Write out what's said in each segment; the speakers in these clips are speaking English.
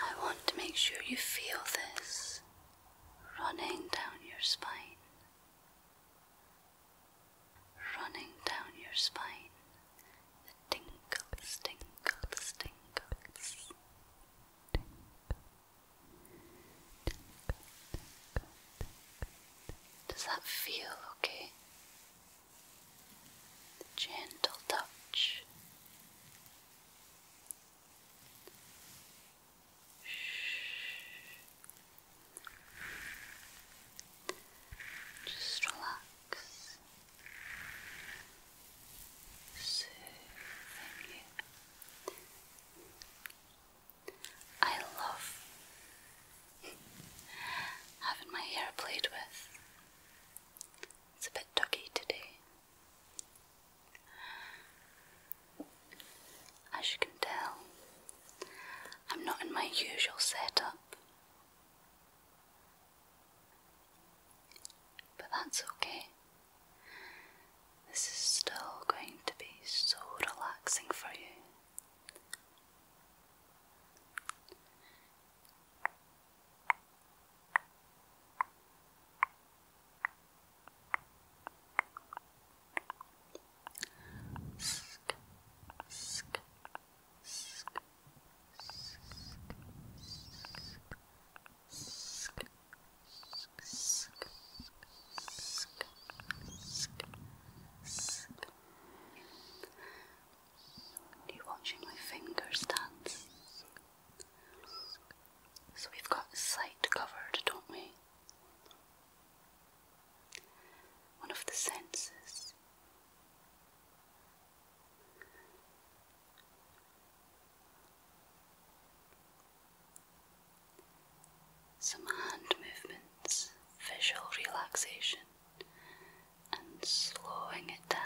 I want to make sure you feel this running down your spine, running down your spine. The tingles, tingles, Tingle, tingle, tingle. Does that feel okay? The gentle touch, just relax, soothing you. I love having my hair played with. It's a bit doggy today. As you can tell, I'm not in my usual setup. But that's okay. This is still going to be so relaxing for you. Sk, Are you watching my fingers dance? So we've got sight covered, don't we? One of the senses. Some hand movements, visual relaxation, and slowing it down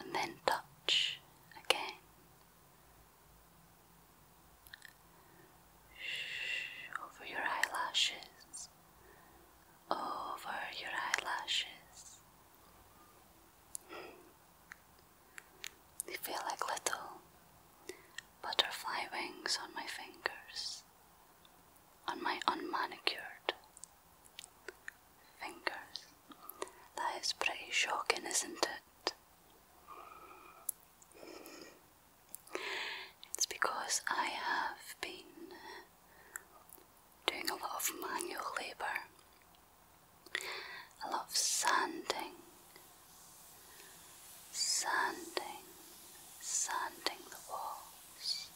and then touch again. Over your eyelashes, over your eyelashes. They feel like little butterfly wings on my fingers, on my unmanicured fingers. That is pretty shocking, isn't it? It's because I have been doing a lot of manual labour, a lot of sanding, sanding, sanding the walls,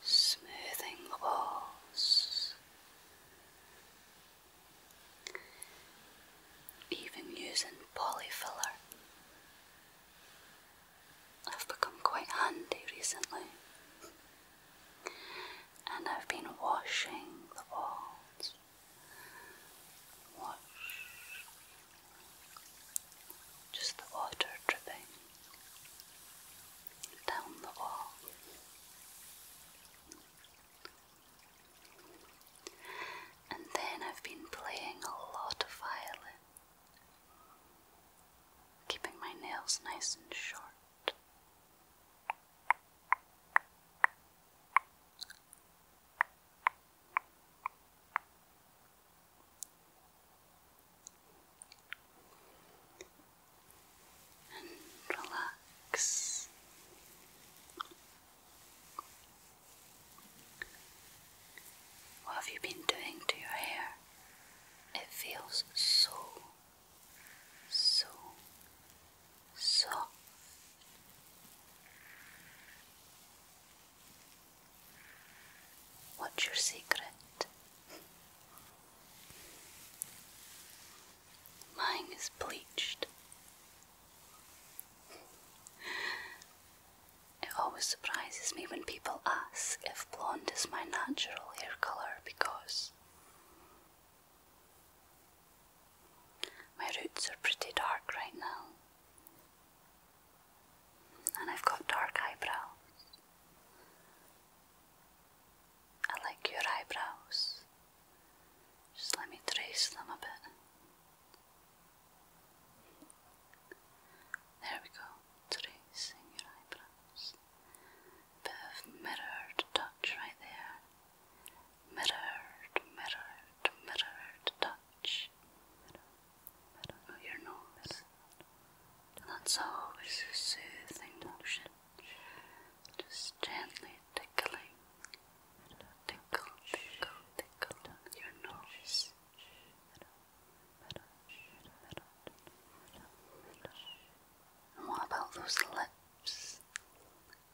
smoothing the walls, even using polyfiller. I've become quite handy recently, and I've been washing the walls just the water dripping down the wall. And then I've been playing a lot of violin, keeping my nails nice and short and relax. What have you been doing to your hair? It feels so so soft. What's your secret? Mine is bleached. It always surprises me when people ask if blonde is my natural hair color because my roots are pretty dark right now, and I've got dark eyebrows. I like your eyebrows. Just let me trace them a bit. There we go, tracing your eyebrows. Bit of mirrored touch right there. Mirrored, mirrored, mirrored touch. Oh, your nose. that's always a soothing motion. Just gently tickling. Tickle, tickle, tickle your nose. And what about those lips?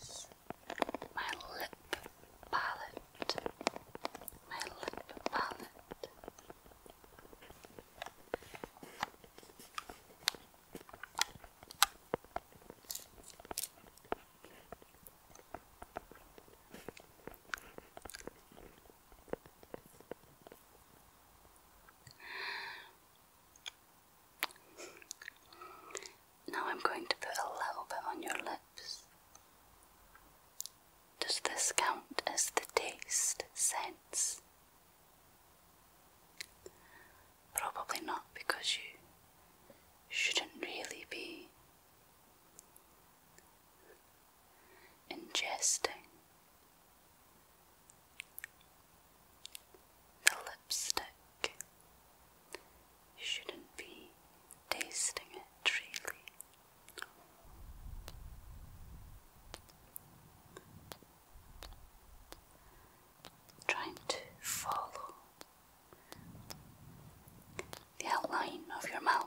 It's my lip palette. My lip palette. Now I'm going to put a little bit on your lips. Does this count as the taste sense? Probably not because you shouldn't really be ingesting the lipstick. shouldn't be tasting it really. Trying to follow the outline of your mouth.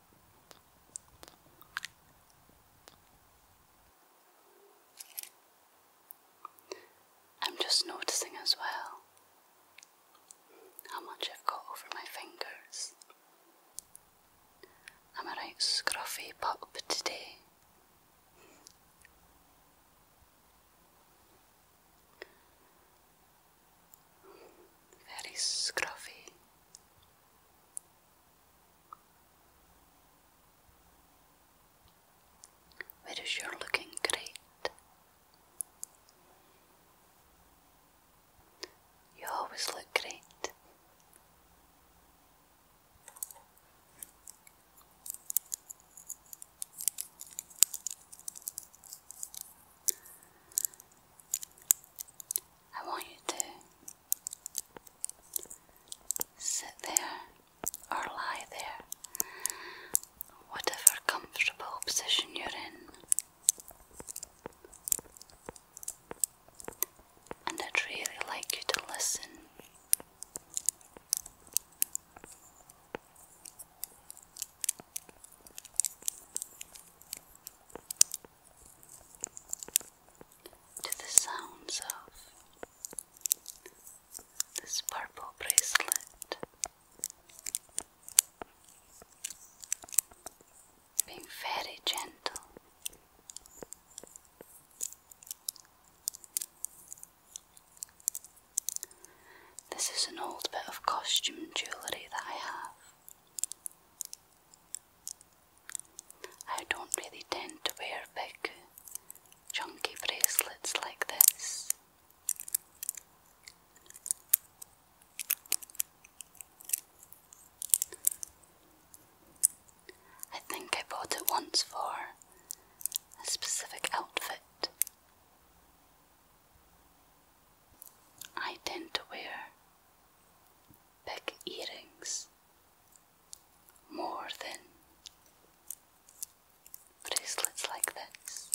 I'm just noticing as well how much I've got over my fingers. I'm a right scruffy pup today. Very scruffy Whereas you're looking great. You always look great. I want you to Sit there or lie there, whatever comfortable position you're in. And I'd really like you to listen to the sounds of this purple bracelet being very gentle. This is an old bit of costume jewellery that I have. I don't really tend to wear big, chunky bracelets like this. I think I bought it once for a specific outfit. I tend to wear big earrings, more than bracelets like this.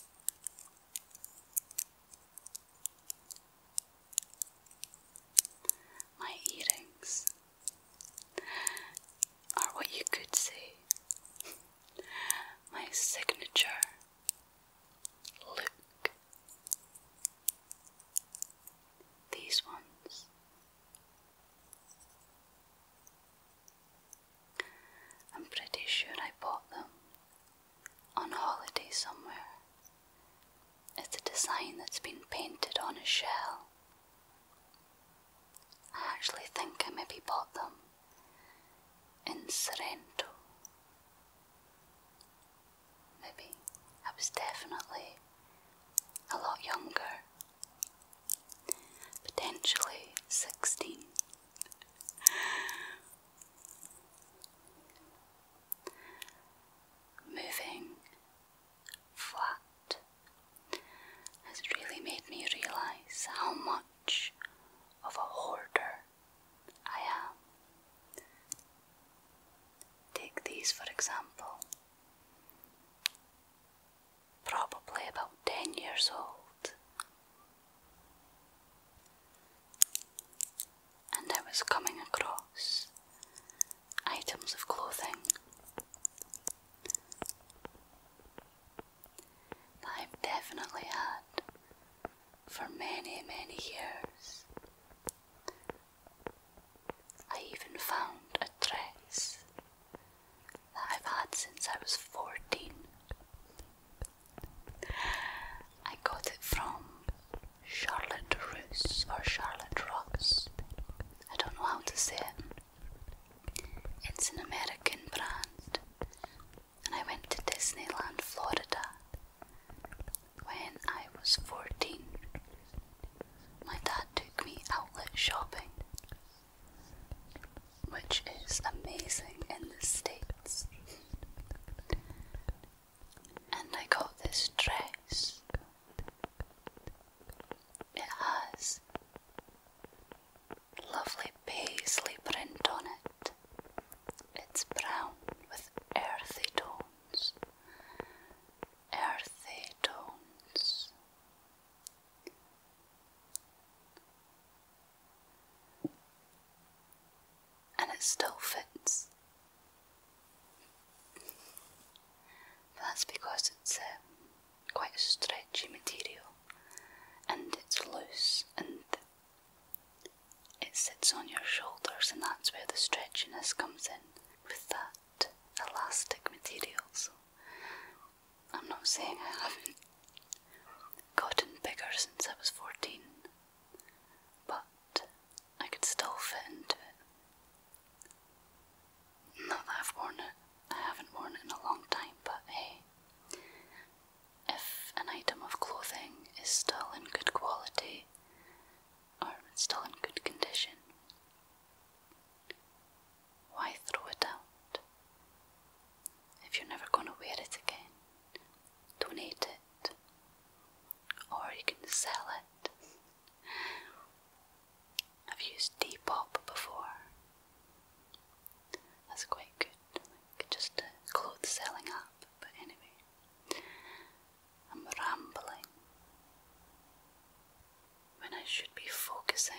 My earrings are what you could say my signature look. These ones. I'm pretty sure I bought them on holiday somewhere. It's a design that's been painted on a shell. I actually think I maybe bought them in Sorrento maybe. I was definitely a lot younger, potentially 16. Moving flat has really made me realise how much of a hoarder I am. Take these for example. Probably about 10 years old. And I was coming across items of clothing that I've definitely had for many, many years. I even found a dress that I've had since I was 14. I got it from Charlotte Roos or Charlotte Ross. I don't know how to say it. It's an American brand. And I went to Disneyland, Florida, when I was 14, my dad took me outlet shopping, which is amazing in the States. And I got this dress. It has lovely paisley print on it. It's brown with earthy tones tones, earthy tones. And it still fits. That's because it's um, quite a stretchy material and it's loose and it sits on your shoulders, and that's where the stretchiness comes in with that elastic material. I'm not saying I haven't gotten bigger since I was 14, but I could still fit into it. Not that I've worn it, I haven't worn it in a long time, but hey. If an item of clothing is still in good quality Oh, it's still in good condition. Why throw it out? If you're never going to wear it again, donate it. Or you can sell it. I've used Depop before. That's quite good, just a clothes selling app, but anyway. I'm rambling when I should be focusing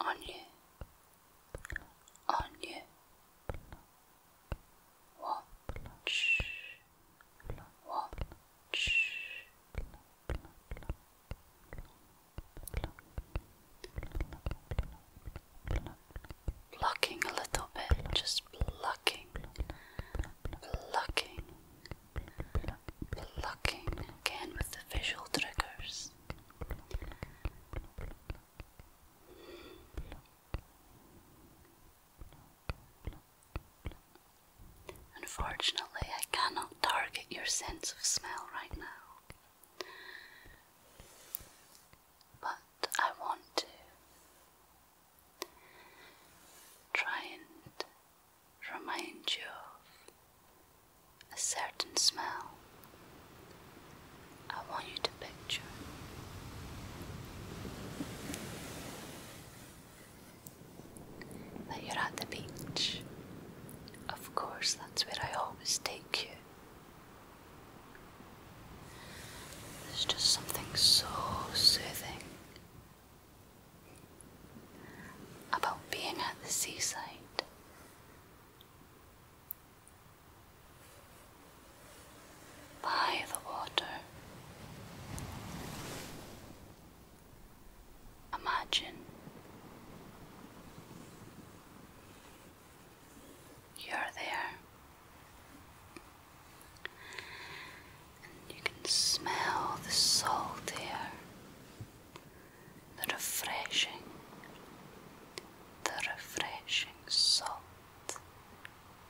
on you, on you. Watch, watch. Plucking a little bit, just plucking, plucking, plucking again with the visual triggers. Unfortunately, I cannot target your sense of smell right now but I want to try and remind you of a certain smell. I want you to picture. That you're at the beach. Of course, that's where I always take you there's just something so soothing about being at the seaside. By the water. Imagine you're there. And you can smell the salt air, the refreshing, the refreshing salt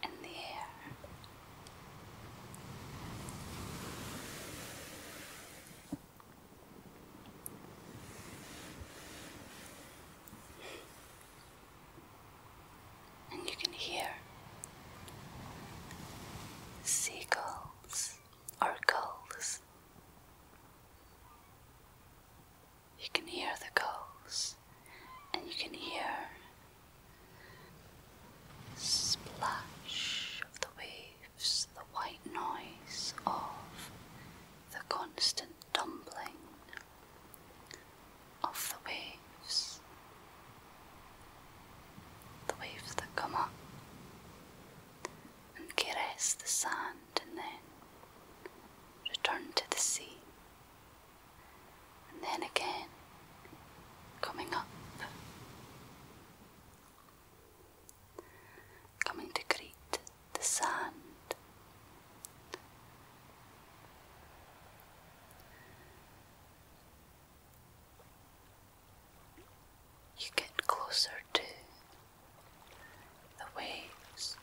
in the air and you can hear seagulls or gulls. You can hear the gulls, and you can hear splash of the waves, the white noise of the constant tumbling of the waves, the waves that come up and caress the sand and then return to the sea, and then again coming up. Coming to greet the sand. You get closer to the waves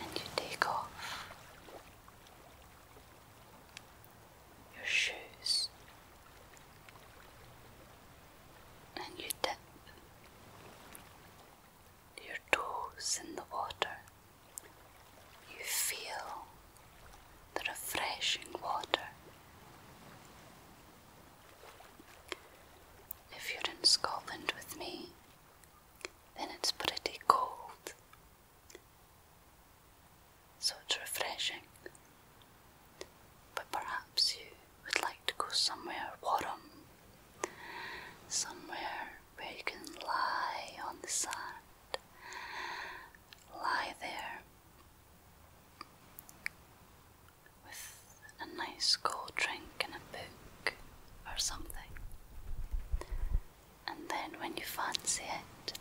and you take off your shoes and you dip your toes in the water. You feel the refreshing water. If you're in Scotland with me, then it's pretty cold, so it's refreshing. But perhaps you would like to go somewhere warm, somewhere where you can lie on the sand, lie there with a nice cold drink and a book or something, and then when you fancy it,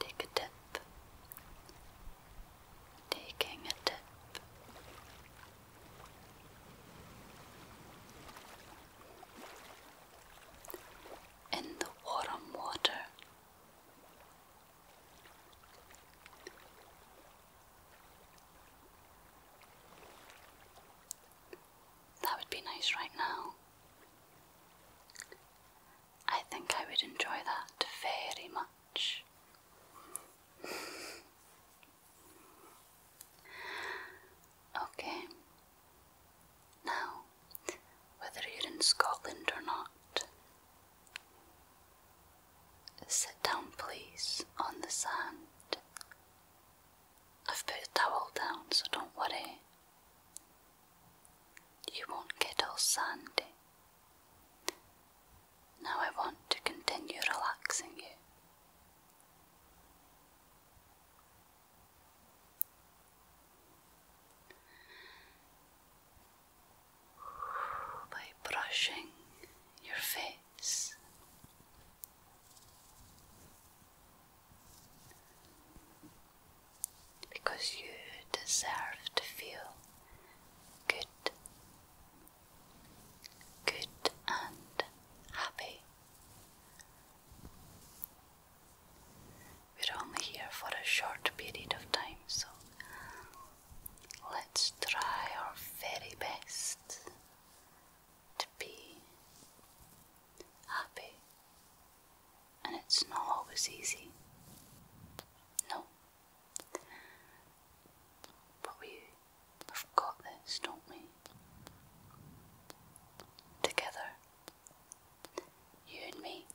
take a dip taking a dip. In the warm water, that would be nice right now. I think I would enjoy that very much okay. Now, whether you're in Scotland or not, sit down, please, on the sand. I've put a towel down, so don't worry. You won't get all sandy. Now I want to continue relaxing you. By brushing your face, because you deserve to feel good good and happy. We're only here for a short period of time, so let's try our very best to be happy. And it's not always easy. No, but we've got this, don't we? Together. You and me.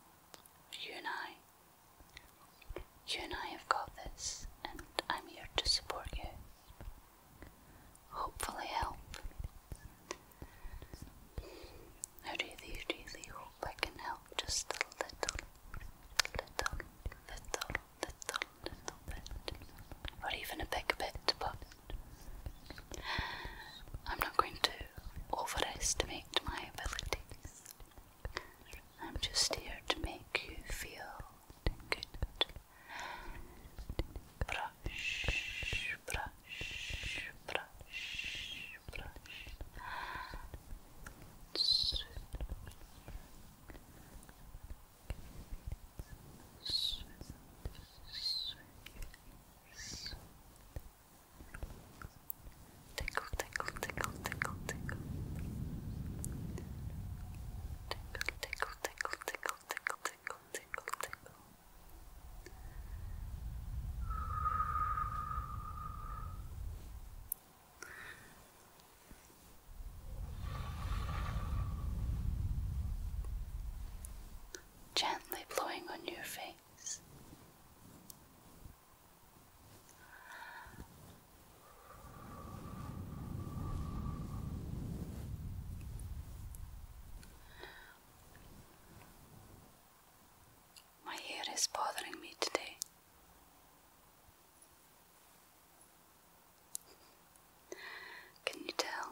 You and I. You and I have got this, and I'm here to support you. Hopefully, help. I really, really hope hope I can help just a little, little, little, little, little bit, or even a big bit, but I'm not going to overestimate my abilities. I'm just here to make you feel good. Brush, brush, brush, brush. Swift, swift, Tickle, tickle, tickle, tickle, tickle. Tickle, tickle, tickle, tickle, tickle, Gently blowing on your face. My hair is bothering me today. Can you tell?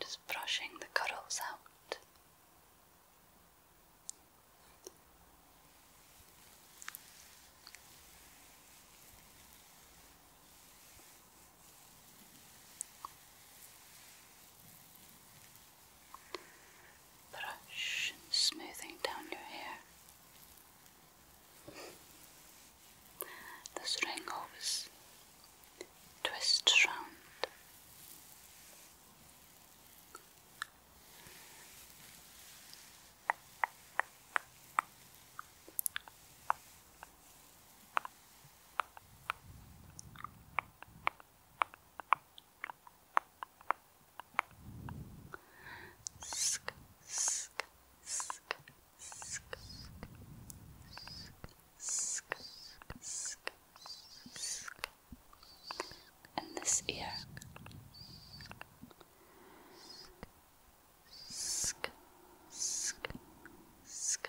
Just brushing the cuddles out. Brush and smoothing down your hair. This ring always twists round. Sk, sk, sk, sk, sk, sk, sk, and this ear. Sk, sk, sk, sk,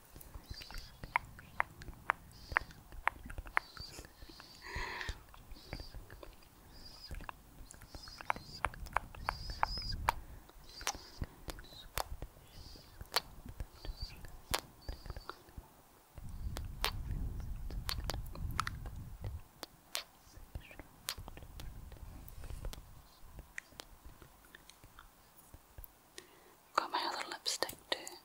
Got my other lipstick too.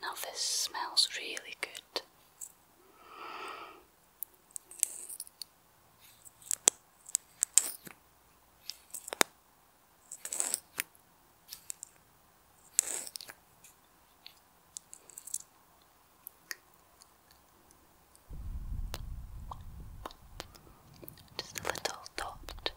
Now, this smells really good. Just a little dot.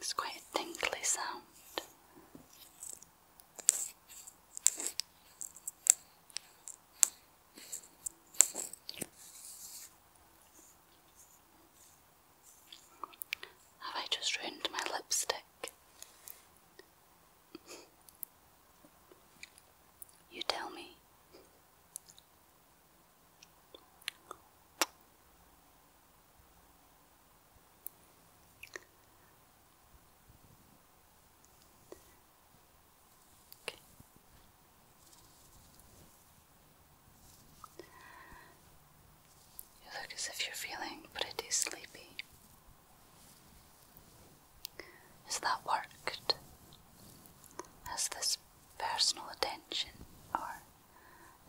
It's quite a tinkly sound. Have I just ruined my lipstick? You tell me. You look as if you're feeling pretty sleepy. Has that worked? Has this personal attention or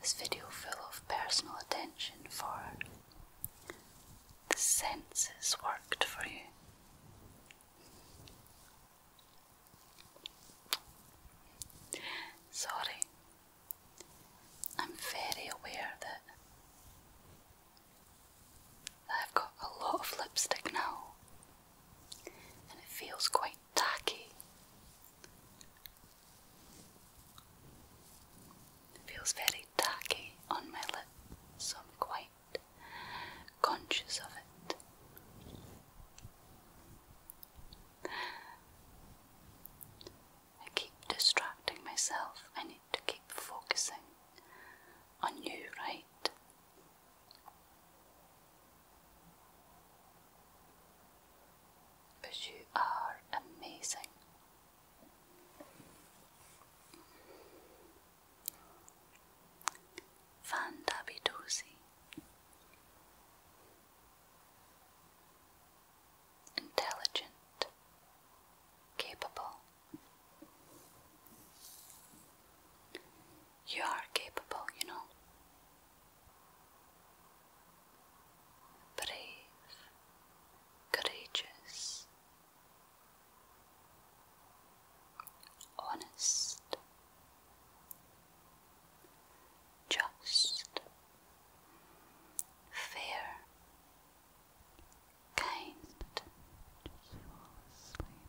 this video full of personal attention for the senses worked for you? Sorry, I'm very aware that I've got a lot of lipstick now and it feels quite tacky. feels very tacky on my lips. so I'm quite conscious of it. I keep distracting myself. I need to keep focusing on you, right? But you are amazing. Fandabidosi. Intelligent, capable. You are capable, you know. Brave, courageous, honest, just, fair, kind.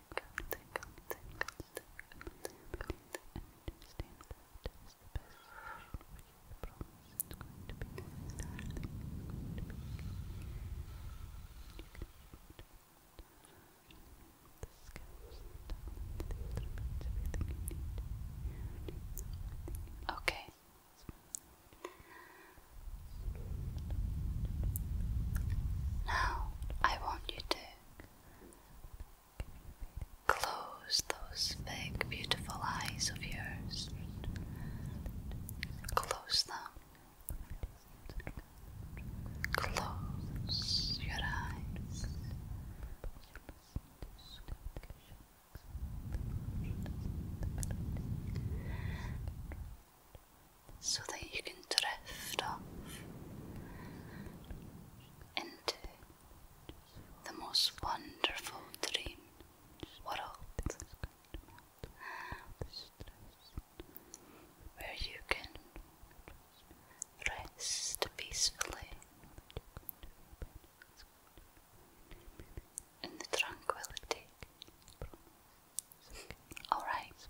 think you. Okay. Now I want you to Close those big, beautiful eyes of yours. Close them. Close your eyes. So that you can drift off into the most wonderful dream world where you can rest peacefully in the tranquility. Alright,